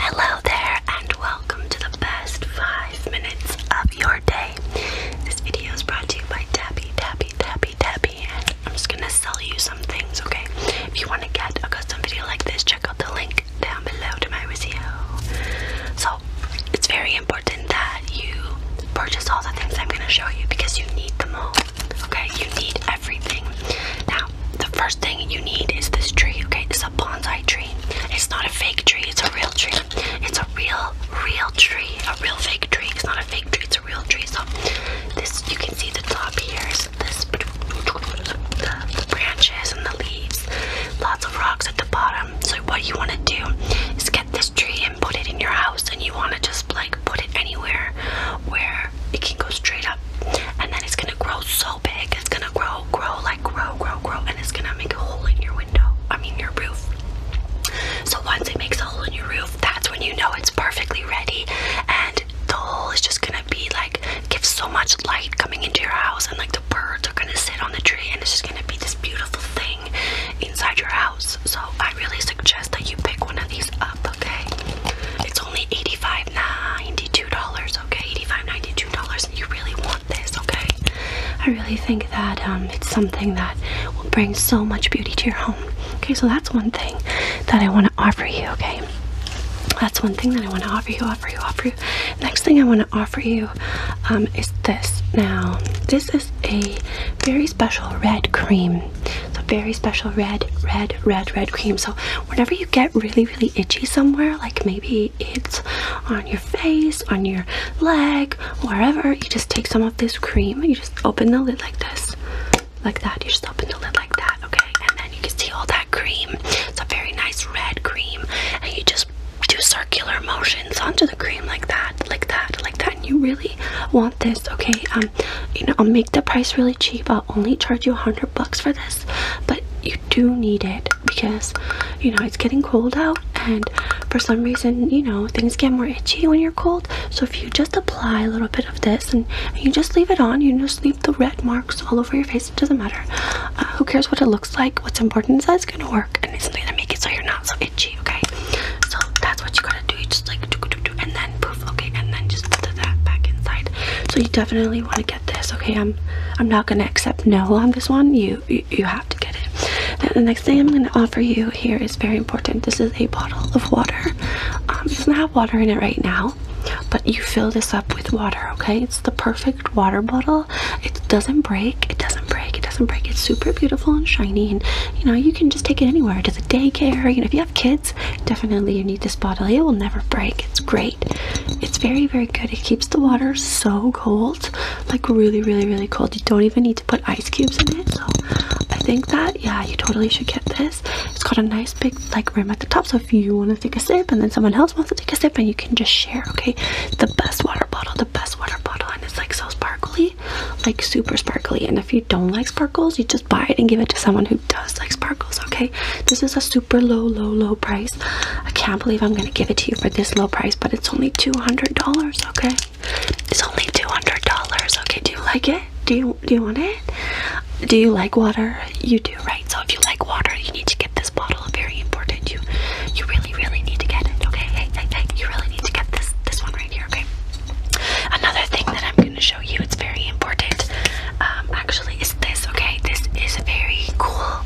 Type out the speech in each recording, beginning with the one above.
Hello there, and welcome to the best five minutes of your day. This video is brought to you by Tappy, Tappy, Tappy, Tappy, and I'm just gonna sell you some things, okay? If you want to get a custom video like this, check out the link down below to my video. So, it's very important that you purchase all the things I'm gonna show you because you need them all. Okay, you need everything. Now, the first thing you need is this tree. Okay, it's a bonsai tree. It's not a fake tree, it's a real tree. It's a real, real tree. A real fake tree. It's not a fake tree, it's a real tree. So this you can see the top here is this the branches and the leaves. Lots of rocks at the bottom. So what you want to do is get this tree and put it in your house and you want to just like put it anywhere where it can go straight up. And then it's gonna grow so big. It's gonna grow, grow, like grow, grow, grow, and it's gonna make a hole in your window. I mean your roof. So once it makes a hole in your roof, that's when you know it's perfectly ready. And the hole is just gonna be like give so much light coming into your house and like the birds are gonna sit on the tree and it's just gonna be this beautiful thing inside your house. So I really suggest that you pick one of these up, okay? It's only $85.92, okay? $85.92 and you really want this, okay? I really think that um, it's something that will bring so much beauty to your home. Okay, so that's one thing that I want to offer you, okay? That's one thing that I want to offer you, offer you, offer you. Next thing I want to offer you um, is this. Now, this is a very special red cream. It's a very special red, red, red, red cream. So whenever you get really, really itchy somewhere, like maybe it's on your face, on your leg, wherever, you just take some of this cream. You just open the lid like this, like that. You just open the lid like that, okay? And then you can see all that cream. It's a very nice red cream, and you just do circular motions onto the cream like that, like that, like that, and you really. want this okay um you know i'll make the price really cheap i'll only charge you a 100 bucks for this but you do need it because you know it's getting cold out and for some reason you know things get more itchy when you're cold so if you just apply a little bit of this and, you just leave it on you just leave the red marks all over your face it doesn't matter uh, who cares what it looks like what's important is that it's gonna work and it's gonna make it so you're not so itchy okay? So that's what you gotta do. just like and then poof, okay, and then just put that back inside. So you definitely wanna get this, okay? I'm I'm not gonna accept no on this one. You you, have to get it. the next thing I'm going to offer you here is very important. This is a bottle of water. Um, it doesn't have water in it right now, but you fill this up with water, okay? It's the perfect water bottle. It doesn't break. It doesn't break it doesn't break. It's super beautiful and shiny, and you know you can just take it anywhere to the daycare. You know if you have kids, definitely you need this bottle. It will never break. It's great. It's very very good. It keeps the water so cold, like really really really cold. You don't even need to put ice cubes in it. So I think that yeah, you totally should get this. It's got a nice big like rim at the top, so if you want to take a sip and then someone else wants to take a sip, and you can just share. Okay, the best water bottle best water bottle and it's like so sparkly like super sparkly and if you don't like sparkles you just buy it and give it to someone who does like sparkles okay this is a super low low low price i can't believe i'm gonna give it to you for this low price but it's only $200 okay it's only $200 okay do you like it do you do you want it do you like water you do right so if you like water you need to get this bottle very important you you really really, really need to get it, okay? Hey, hey, hey, you really need to get this this one right here, okay? Another thing that I'm gonna show you, it's very important, um, actually, it's this, okay? This is a very cool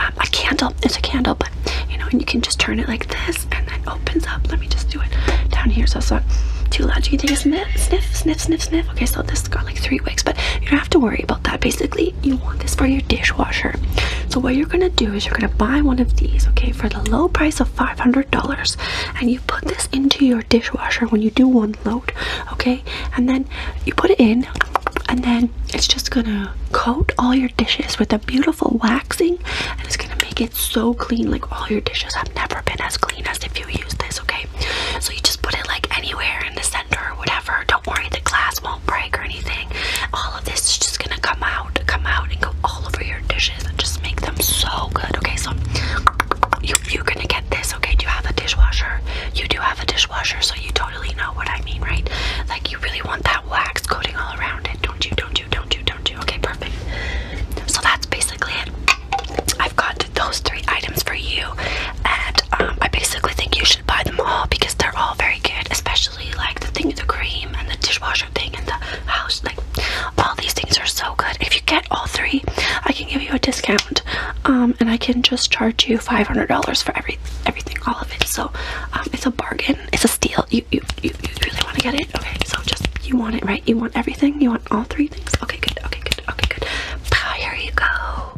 um, a candle. It's a candle, but you know, and you can just turn it like this and then opens up. Let me just do it down here so it's not too loud. You can take a sniff, sniff, sniff, sniff, sniff. Okay, so this got like three wicks, but you don't have to worry about that. Basically, you want this for your dishwasher. So what you're gonna do is you're gonna buy one of these, okay, for the low price of $500, and you put this into your dishwasher when you do one load, okay, and then you put it in, and then it's just gonna coat all your dishes with a beautiful waxing, and it's gonna make it so clean. Like all your dishes have never been as clean as if you use this, okay? So you just put it like anywhere in the center or whatever don't worry, the glass won't break or anything. All of this is just gonna come out, come out, and go all over your dishes and just make them so good. Okay, so you, are gonna get this. Okay, do you have a dishwasher? You do have a dishwasher, so you totally know what I mean, right? Like you really want that wax coating all around it, don't you? Don't you? Don't you? Don't you? Okay, perfect. So that's basically it. I've got those three items for you, and um, I basically think you should buy them all because they're all very good, especially like the thing, the cream and the dishwasher thing and the house. Like all these things are so good. If you get all three, I can give you a discount, um, and I can just charge you five hundred dollars for every everything, all of it. So um, it's a bargain. It's a steal. You you you, really want to get it? Okay, so just you want it, right? You want everything. You want all three things. Okay, good. Okay, good. Okay, good. here you go.